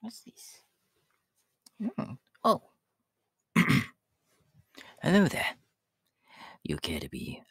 What's this? Oh. oh. Hello there. You care to be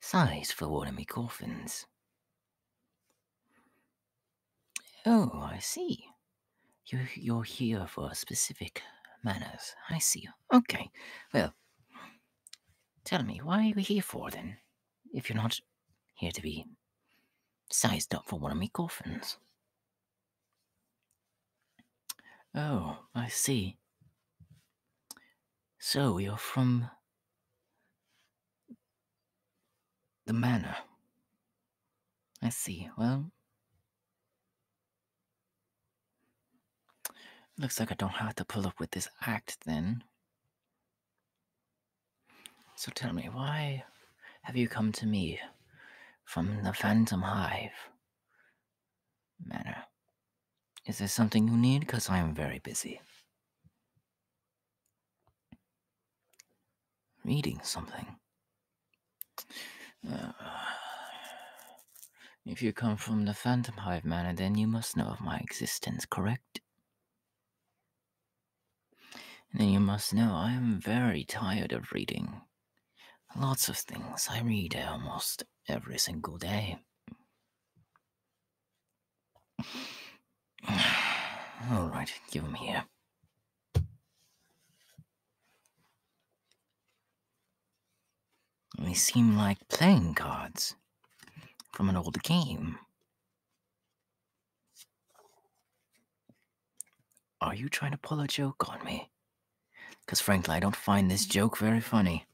sized for one of my coffins? Oh, I see. You, you're here for specific manners. I see. Okay. Well, tell me, why are you here for then? If you're not here to be sized up for one of my coffins. Oh, I see. So you're from the manor. I see. Well, looks like I don't have to pull up with this act then. So tell me, why have you come to me from the Phantom Hive Manor? Is there something you need? Because I am very busy. Reading something. Uh, if you come from the Phantom Hive Manor, then you must know of my existence, correct? then you must know I am very tired of reading. Lots of things. I read almost every single day. All right, give him here. They seem like playing cards from an old game. Are you trying to pull a joke on me? Because frankly, I don't find this joke very funny.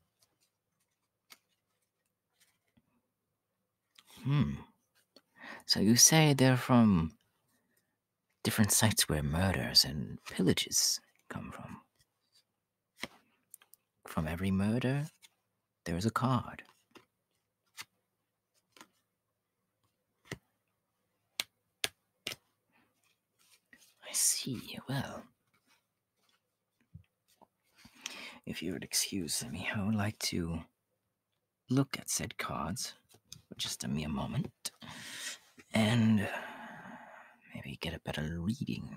Hmm. So you say they're from different sites where murders and pillages come from. From every murder, there is a card. I see, well. If you would excuse me, I would like to look at said cards for just a mere moment and uh, maybe get a better reading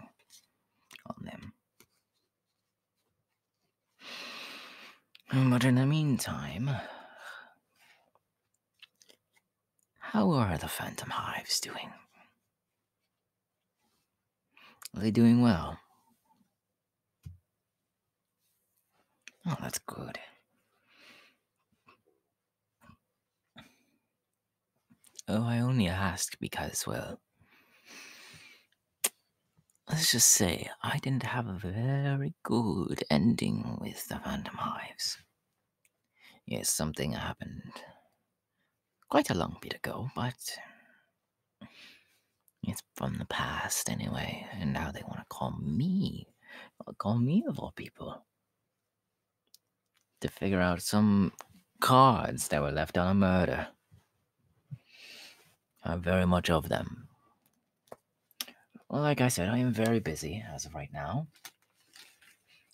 on them. But in the meantime, how are the Phantom Hives doing? Are they doing well? Oh, that's good. Oh, I only asked because, well, let's just say I didn't have a very good ending with the Phantom Hives. Yes, something happened quite a long bit ago, but it's from the past anyway, and now they want to call me. Uh, call me of all people. To figure out some cards that were left on a murder. I'm very much of them. Well, like I said, I am very busy as of right now.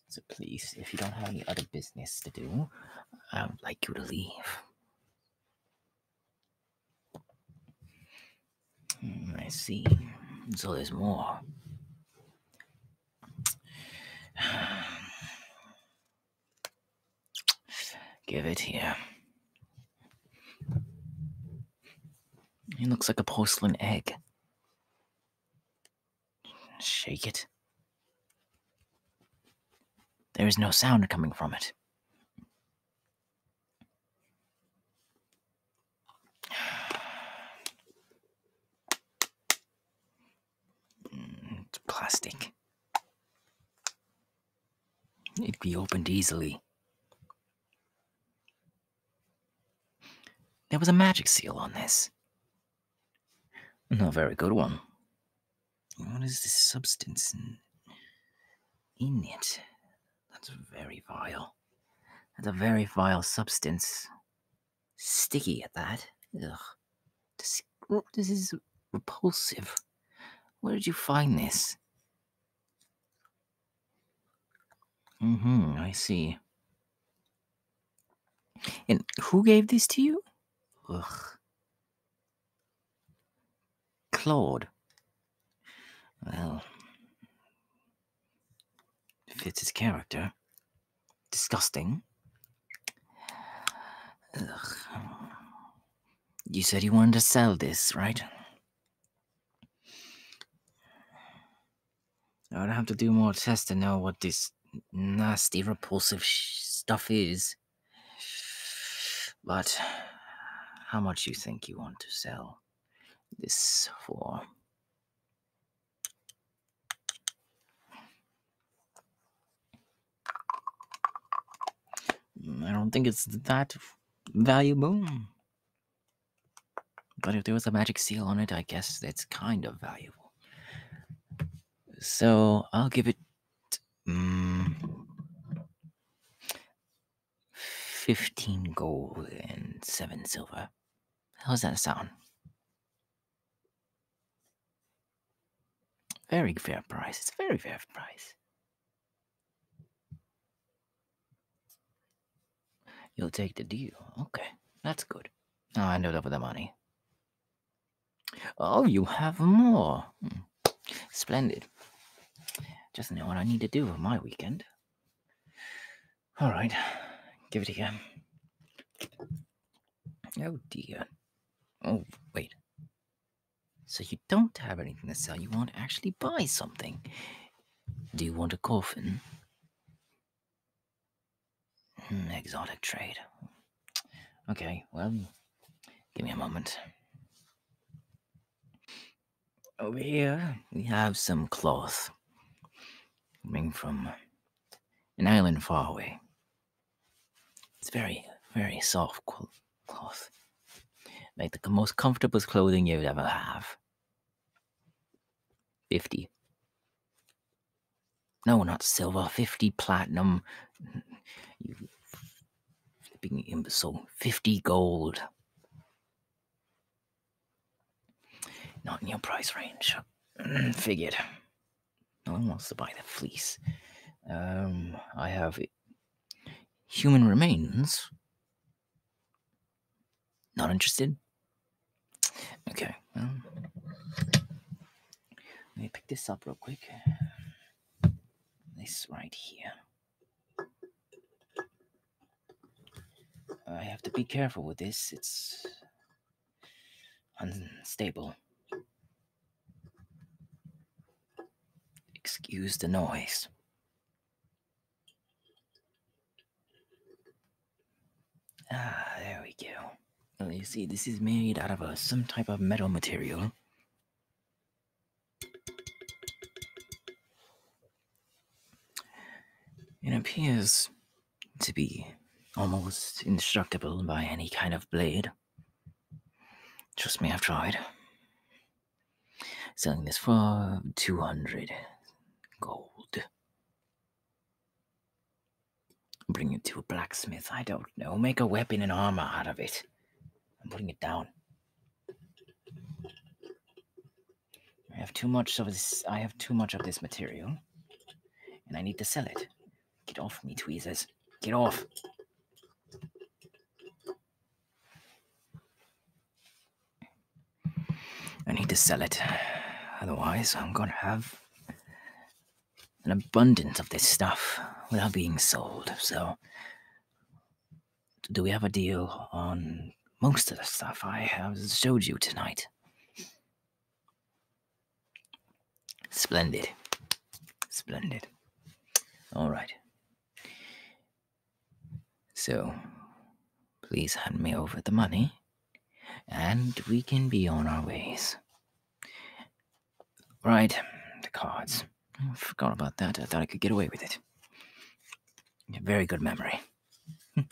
So please, if you don't have any other business to do, I would like you to leave. Mm, I see. So there's more. Give it here. It looks like a porcelain egg. Shake it. There is no sound coming from it. Mm, it's plastic. It would be opened easily. There was a magic seal on this. Not a very good one. What is the substance in it? That's very vile. That's a very vile substance. Sticky at that. Ugh. Oh, this, is repulsive. Where did you find this? Mm hmm, I see. And who gave this to you? Ugh. Claude. Well, fits his character. Disgusting. You said you wanted to sell this, right? I would have to do more tests to know what this nasty, repulsive stuff is. But how much you think you want to sell this for? Mm, I don't think it's that valuable. But if there was a magic seal on it, I guess it's kind of valuable. So I'll give it. Mm, 15 gold and 7 silver. How How's that sound? Very fair price. It's a very fair price. You'll take the deal. Okay, that's good. Oh, I know up with the money. Oh, you have more. Hmm. Splendid. Just know what I need to do for my weekend. All right, give it a go. Oh dear. Oh, wait. So you don't have anything to sell. You want actually buy something. Do you want a coffin? Hmm, exotic trade. Okay, well, give me a moment. Over here, we have some cloth coming from an island far away. It's very, very soft cloth. Like the most comfortable clothing you'd ever have. 50. No, not silver. 50 platinum. Being imbecile. 50 gold. Not in your price range. Figured. No one wants to buy the fleece. Um, I have human remains. Not interested? Okay. let me pick this up real quick. This right here. I have to be careful with this. It's unstable. Excuse the noise. Ah, there we go. Well, you see, this is made out of some type of metal material. It appears to be almost indestructible by any kind of blade. Trust me, I've tried. Selling this for 200 gold. Bring it to a blacksmith, I don't know. Make a weapon and armor out of it. I'm putting it down. I have too much of this. I have too much of this material, and I need to sell it. Get off me, tweezers! Get off! I need to sell it, otherwise I'm gonna have an abundance of this stuff without being sold. So do we have a deal on most of the stuff I have showed you tonight? Splendid. Splendid. All right. So, please hand me over the money, and we can be on our ways. Right, the cards. I forgot about that. I thought I could get away with it. Very good memory.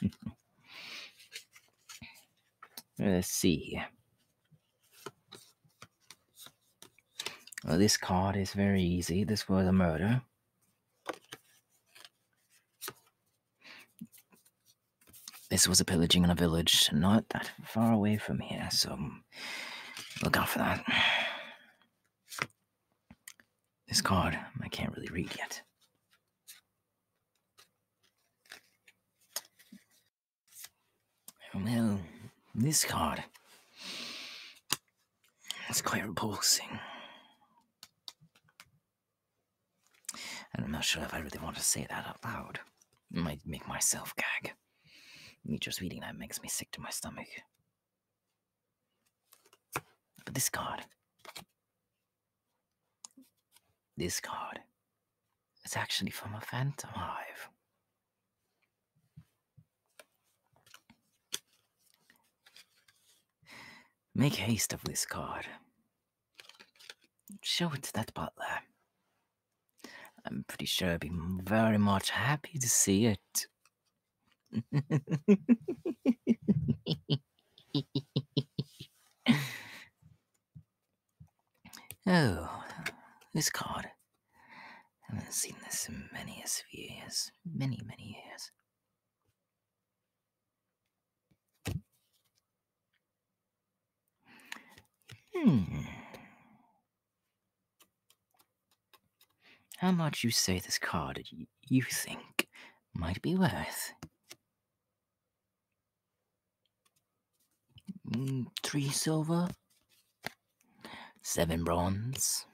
Let's see here. this card is very easy. This was a murder. This was a pillaging in a village not that far away from here, so look out for that. This card, I can't really read yet. Well, this card. It's quite repulsing. And I'm not sure if I really want to say that out loud. It might make myself gag. Me just reading that makes me sick to my stomach. But this card. This card. It's actually from a Phantom Hive. Make haste of this card. Show it to that butler. I'm pretty sure I'd be very much happy to see it. oh, this card. I have seen this in many years. Many, many years. Hmm. How much you say this card you think might be worth? Hmm, three silver, seven bronze,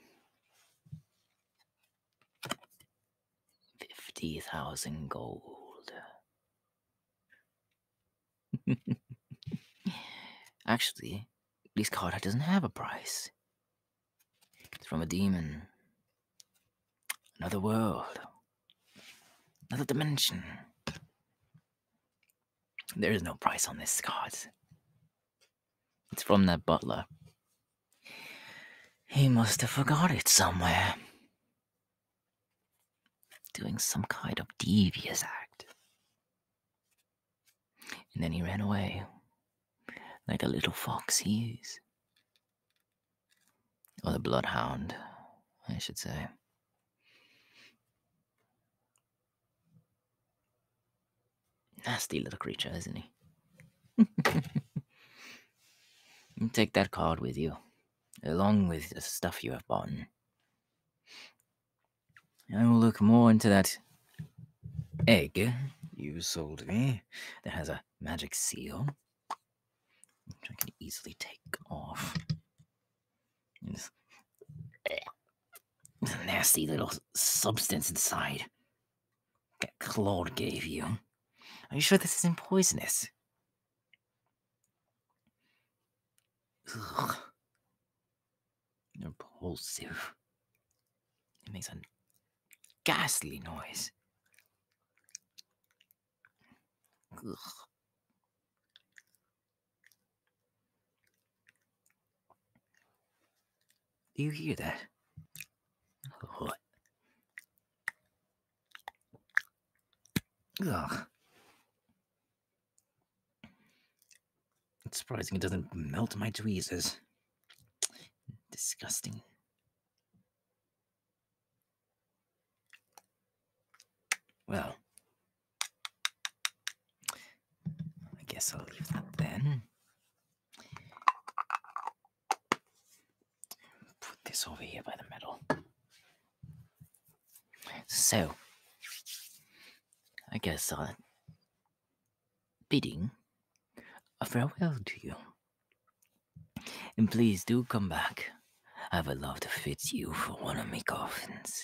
fifty thousand gold. Actually, this card doesn't have a price. It's from a demon. Another world. Another dimension. There is no price on this card. It's from that butler. He must have forgot it somewhere. Doing some kind of devious act. And then he ran away, like a little fox he is. Or the bloodhound, I should say. Nasty little creature, isn't he? take that card with you, along with the stuff you have bought. I will look more into that egg you sold me that has a magic seal, which I can easily take off. It's a nasty little substance inside that Claude gave you. Are you sure this isn't poisonous? repulsive. It makes a ghastly noise. Do you hear that? What? Ugh. It's surprising it doesn't melt my tweezers. Disgusting. Well, I guess I'll leave that then. Put this over here by the metal. So, I guess I'll bidding farewell to you. And please do come back. I would love to fit you for one of my coffins.